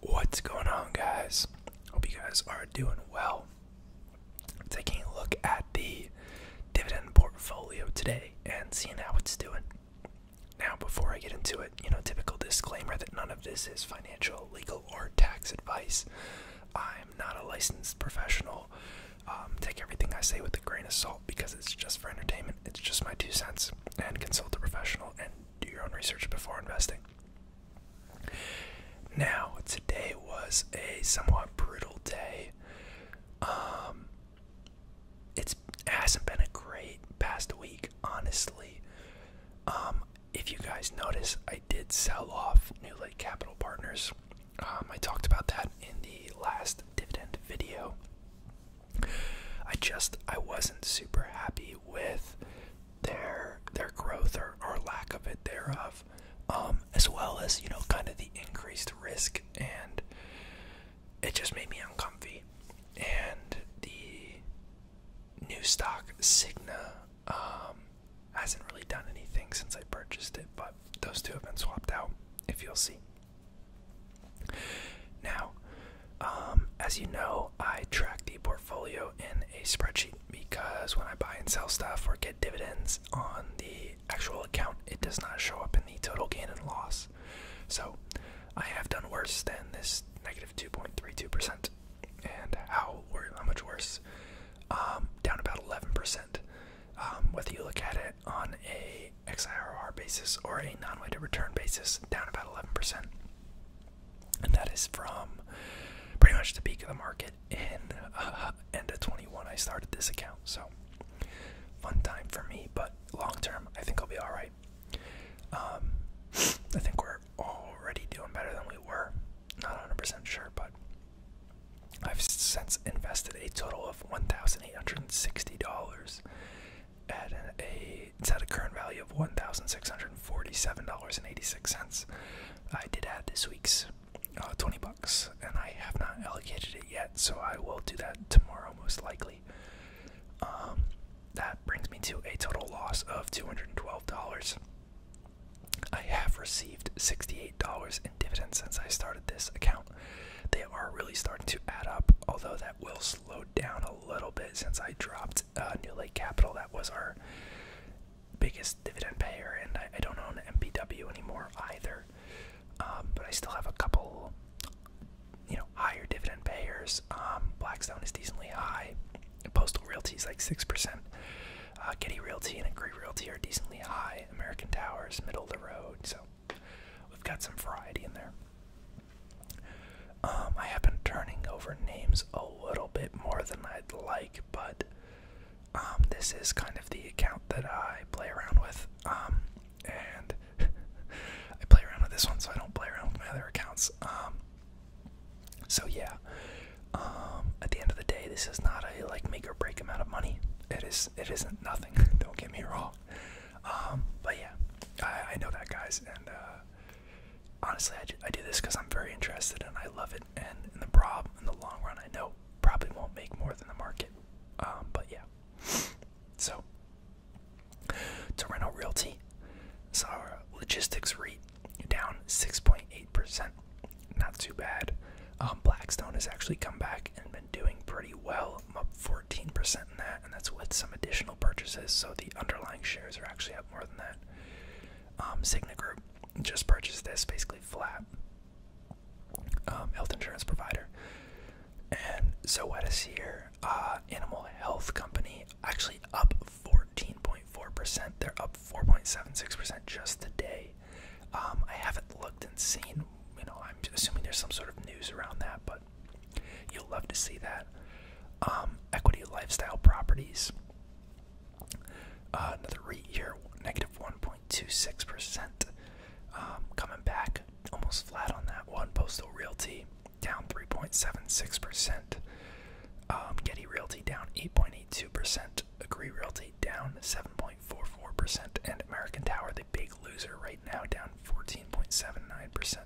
What's going on, guys? Hope you guys are doing well. Taking a look at the dividend portfolio today and seeing how it's doing. Now, before I get into it, you know, typical disclaimer that none of this is financial, legal, or tax advice. I'm not a licensed professional. Um, take everything I say with a grain of salt because it's just for entertainment. It's just my two cents. And consult a professional and do your own research before investing. Now, today was a somewhat brutal day. Um, it hasn't been a great past week, honestly. Um, if you guys notice, I did sell off New Lake Capital Partners. Um, I talked about that in the last dividend video. I just I wasn't super happy with their their growth or, or lack of it thereof, um, as well as you know kind of the increased risk and it just made me uncomfortable. And the new stock Signa um, hasn't really done anything since I purchased it, but those two have been swapped out. If you'll see. Now, um, as you know, I track the portfolio in a spreadsheet because when I buy and sell stuff or get dividends on the actual account, it does not show up in the total gain and loss. So I have done worse than this negative 2.32%. And how, how much worse? Um, down about 11%. Um, whether you look at it on a XIRR basis or a non-weighted return basis, down about 11%. And that is from pretty much the peak of the market in uh, end of 21. I started this account, so fun time for me. But long term, I think I'll be all right. Um, I think we're already doing better than we were. Not 100% sure, but I've since invested a total of $1,860 at a it's at a current value of one thousand six hundred and forty-seven dollars and eighty-six cents. I did add this week's uh, twenty bucks, and I have not allocated it yet, so I will do that tomorrow most likely. Um, that brings me to a total loss of two hundred and twelve dollars. I have received sixty-eight dollars in dividends since I started this account. They are really starting to add up, although that will slowed down a little bit since I dropped uh, New Lake Capital. That was our biggest dividend payer, and I, don't own MPW anymore either. Um, but I still have a couple, you know, higher dividend payers. Um, Blackstone is decently high. Postal Realty is like six percent. Uh, Getty Realty and Agree Realty are decently high. American Towers, middle of the road. So We've got some variety in there. Um, I have been turning over names a little bit more than I'd like, but um, this is kind of the account that I play around with. Um, and I play around with this one, so I don't play around with my other accounts. so yeah, at the end of the day, this is not a like make or break amount of money. It is, it isn't nothing. don't get me wrong. Um, but yeah, I, know that, guys. And uh, honestly, I do, this because I'm very interested and I love it. And in the prob, in the long run, I know probably won't make more than the market. Um, but yeah. So, Toronto Realty saw our logistics rate down 6.8%. Not too bad. Um, Blackstone has actually come back and been doing pretty well. I'm up 14% in that, and that's with some additional purchases. So the underlying shares are actually up more than that. Um, Cigna Group just purchased this, basically flat um, health insurance provider. And Zoetis here, uh, animal health company, actually up 14.4%. They're up 4.76% just today. Um, I haven't looked and seen, you know, I'm assuming there's some sort of news around that, but You'll love to see that. Um, equity lifestyle properties. Uh, another REIT here, negative 1.26%. Um, coming back almost flat on that one. Postal Realty down 3.76%. Um, Getty Realty down 8.82%. Agree Realty down 7.44%. And American Tower the big loser right now, down 14.79%.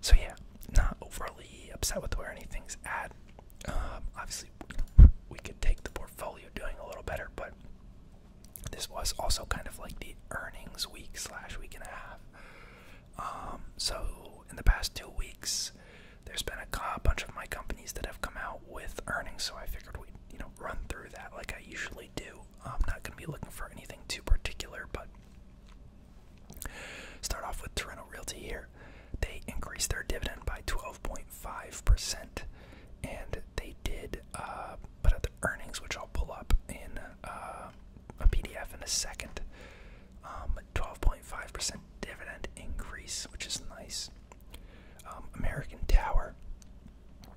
So, yeah, not overly upset with where anything's at. Um, obviously, we could take the portfolio doing a little better, but this was also kind of like the earnings week slash week and a half. Um, so, in the past two weeks, there's been a bunch of my companies that have come out with earnings, so I figured we'd you know run through that like I usually do. I'm not going to be looking for anything too particular, but start off with Toronto Realty here. They increased their dividend by 12.5%, and they did uh, put out the earnings, which I'll pull up in uh, a PDF in a second. 12.5% um, dividend increase, which is nice. Um, American Tower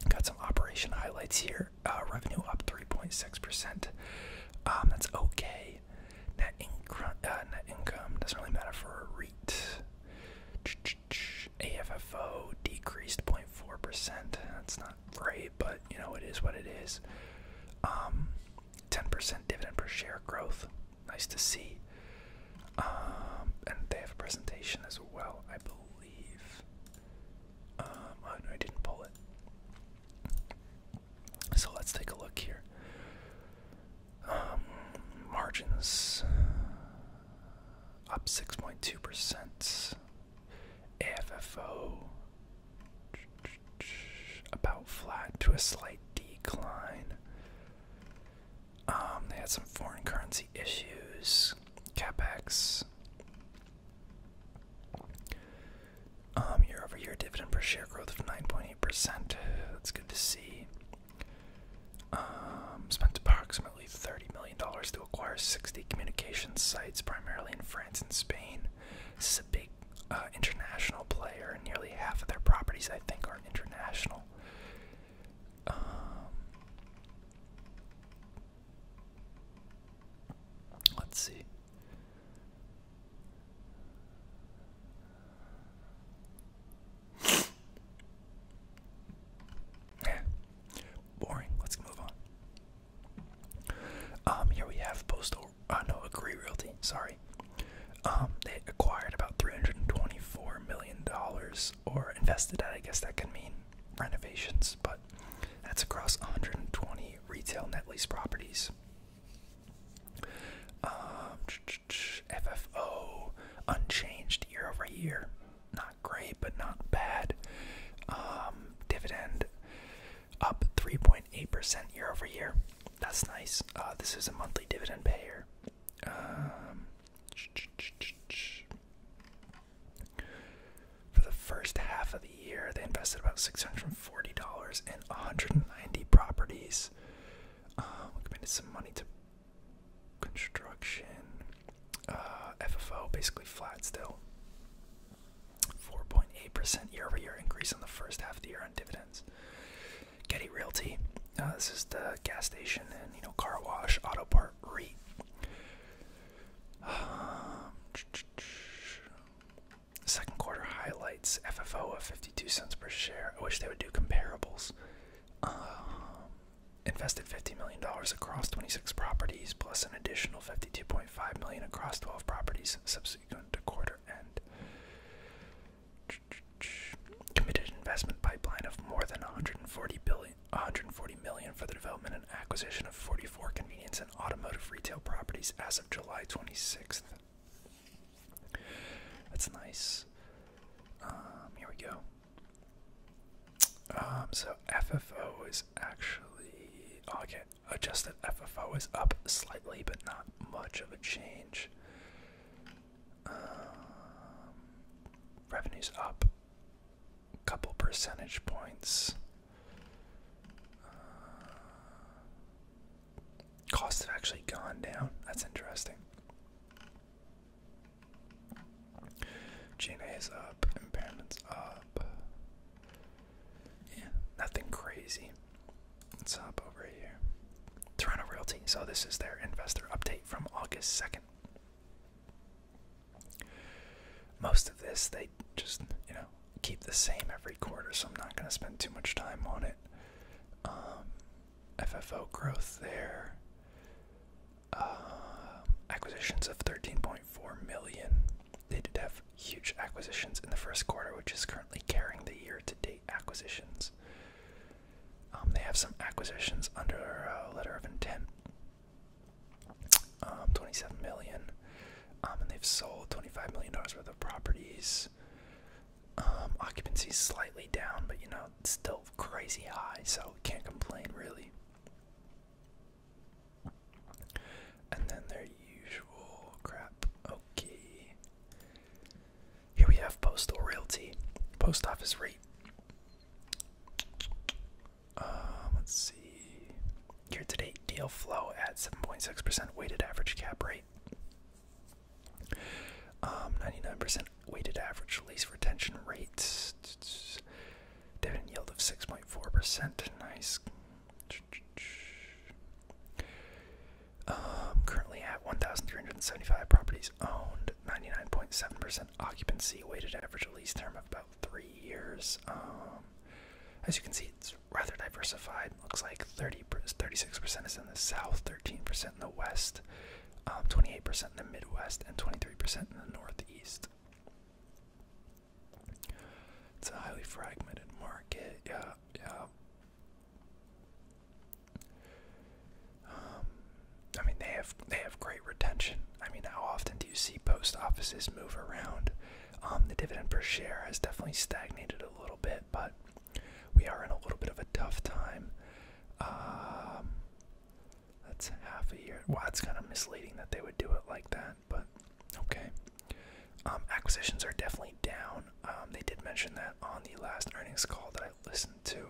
got some operation highlights here. Uh, revenue up 3.6%. Um, that's okay. Uh, net, income doesn't really matter for a REIT. Ch AFFO decreased 0.4%. That's not great, but you know, it is what it is. 10% um, dividend per share growth. Nice to see. and they have a presentation as well, I believe believe. Um, oh no, I didn't pull it. So let's take a look here. Um, margins up 6.2%. AFFO about flat to a slight decline. Um, they had some foreign currency issues, capex, um, year over year dividend per share growth of 9.8%. That's good to see. Um, spent approximately $30 million to acquire 60 communication sites, primarily in France and Spain. This is a big uh, international player, and nearly half of their properties, I think, are international. Um, let's see. Boring. Let's move on. Um, here we have Postal. Uh, no, Agree Realty. Sorry. Um, they acquired about $324 million or invested at, I guess that can mean renovations, but that's across 120 retail net lease properties. Um, FFO unchanged year over year. Not great, but not bad. Um, dividend up 3.8% year over year. That's nice. Uh, this is a monthly dividend payer. Um, for the first half of the year, they invested about $640 in 190 properties. Um, we committed some money to construction. Uh, FFO basically flat still. 4.8% year over year increase in the first half of the year on dividends. Getty Realty. Uh, this is the gas station and you know car wash, auto part, re. Um, second quarter highlights: FFO of 52 cents per share. I wish they would do comparables. Um, invested 50 million dollars across 26 properties, plus an additional 52.5 million across 12 properties subsequent to quarter end committed investment pipeline of more than 140 billion 140 million for the development and acquisition of 44 convenience and automotive retail properties as of July 26th. That's nice. Um, here we go. Um, so FFO is actually oh, okay. Adjusted FFO is up slightly, but not much of a change. Um, revenues up a couple percentage points. Uh, costs have actually gone down. That's interesting. g is up. Impairments up. Yeah, nothing crazy. Let's hop over here. Toronto Realty. So this is their investor update from August 2nd. Most of this they just, you know, keep the same every quarter, so I'm not going to spend too much time on it. Um, FFO growth there. Um, acquisitions of 13.4 million. They did have huge acquisitions in the first quarter, which is currently carrying the year to date acquisitions. Um, they have some acquisitions under a uh, letter of intent. Um, 27 million. Um, and they've sold 25 million dollars worth of properties. Um, occupancy is slightly down, but you know, it's still crazy high, so can't complain really. And then their usual crap. Okay. Here we have postal realty, post office rate. Uh, let's see. Here today, deal flow at 7.6% weighted average cap rate. 99% um, weighted average lease retention rates. Dividend yield of 6.4%. Nice. Um, currently at 1,375 properties owned, 99.7% occupancy, weighted average lease term of about three years. Um, as you can see, it's rather diversified. Looks like 30, 36% is in the south, 13% in the west, 28% um, in the midwest, and 23% in the northeast. It's a highly fragmented market. yeah. Um, I mean, they have they have great retention. I mean, how often do you see post offices move around? Um, the dividend per share has definitely stagnated a little bit, but we are in a little bit of a tough time. Um, that's half a year. Well, it's kind of misleading that they would do it like that, but okay. Um, acquisitions are definitely down. Um, they did mention that on the last earnings call that I listened to.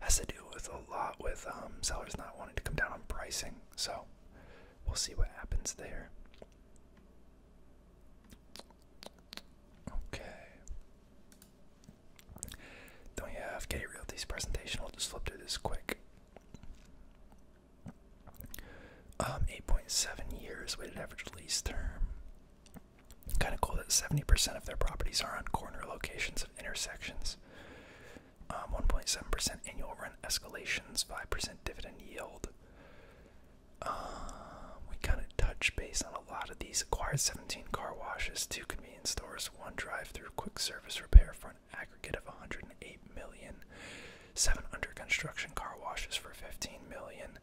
Has to do with a lot with um, sellers not wanting to come down on pricing. So we'll see what happens there. Okay. Don't you have Getty Realty's presentation? We'll just flip through this quick. Um, 8.7 years weighted average lease term. Kind of cool that 70% of their properties are on corner locations of intersections. 1.7% um, annual rent escalations, 5% dividend yield. Um, we kind of touch base on a lot of these. Acquired 17 car washes, 2 convenience stores, 1 drive through, quick service repair for an aggregate of 108 million seven under construction car washes for 15 million,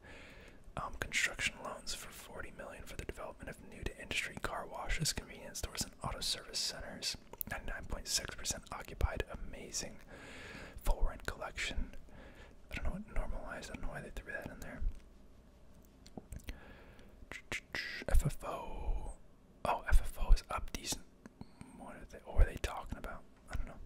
um, construction loans for 40 million for the development of new to industry car washes, convenience stores, and auto service centers. 99.6% occupied. Amazing. Full rent collection. I don't know what normalized. I don't know why they threw that in there. FFO. Oh, FFO is up decent. What are they? What are they talking about? I don't know.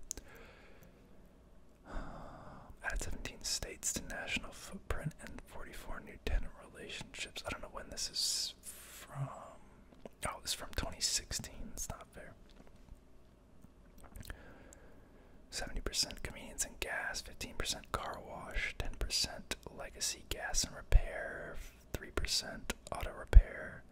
added 17 states to national footprint and 44 new tenant relationships. I don't know when this is from. Oh, it's from 2016. It's not fair. 70% convenience and gas, 15% car wash, 10% legacy gas and repair, 3% auto repair,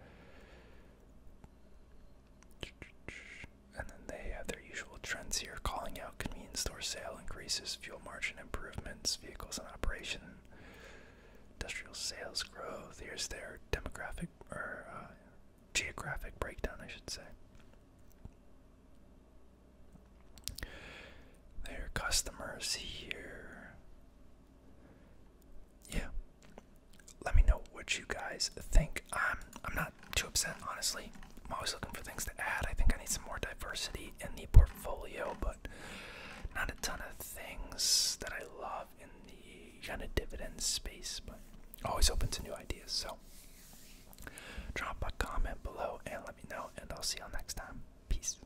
and then they have their usual trends here calling out convenience store sale increases, fuel margin improvements, vehicles in operation, industrial sales growth. Here's their demographic or uh, geographic breakdown, I should say. Their customers here. Yeah, let me know what you guys think. I'm I'm not too upset, honestly. I'm always looking for things to add. I think I need some more diversity in the portfolio, but not a ton of things that I love in the kind of dividend space, but always open to new ideas. So drop a comment below and let me know, and I'll see y'all next time. Peace.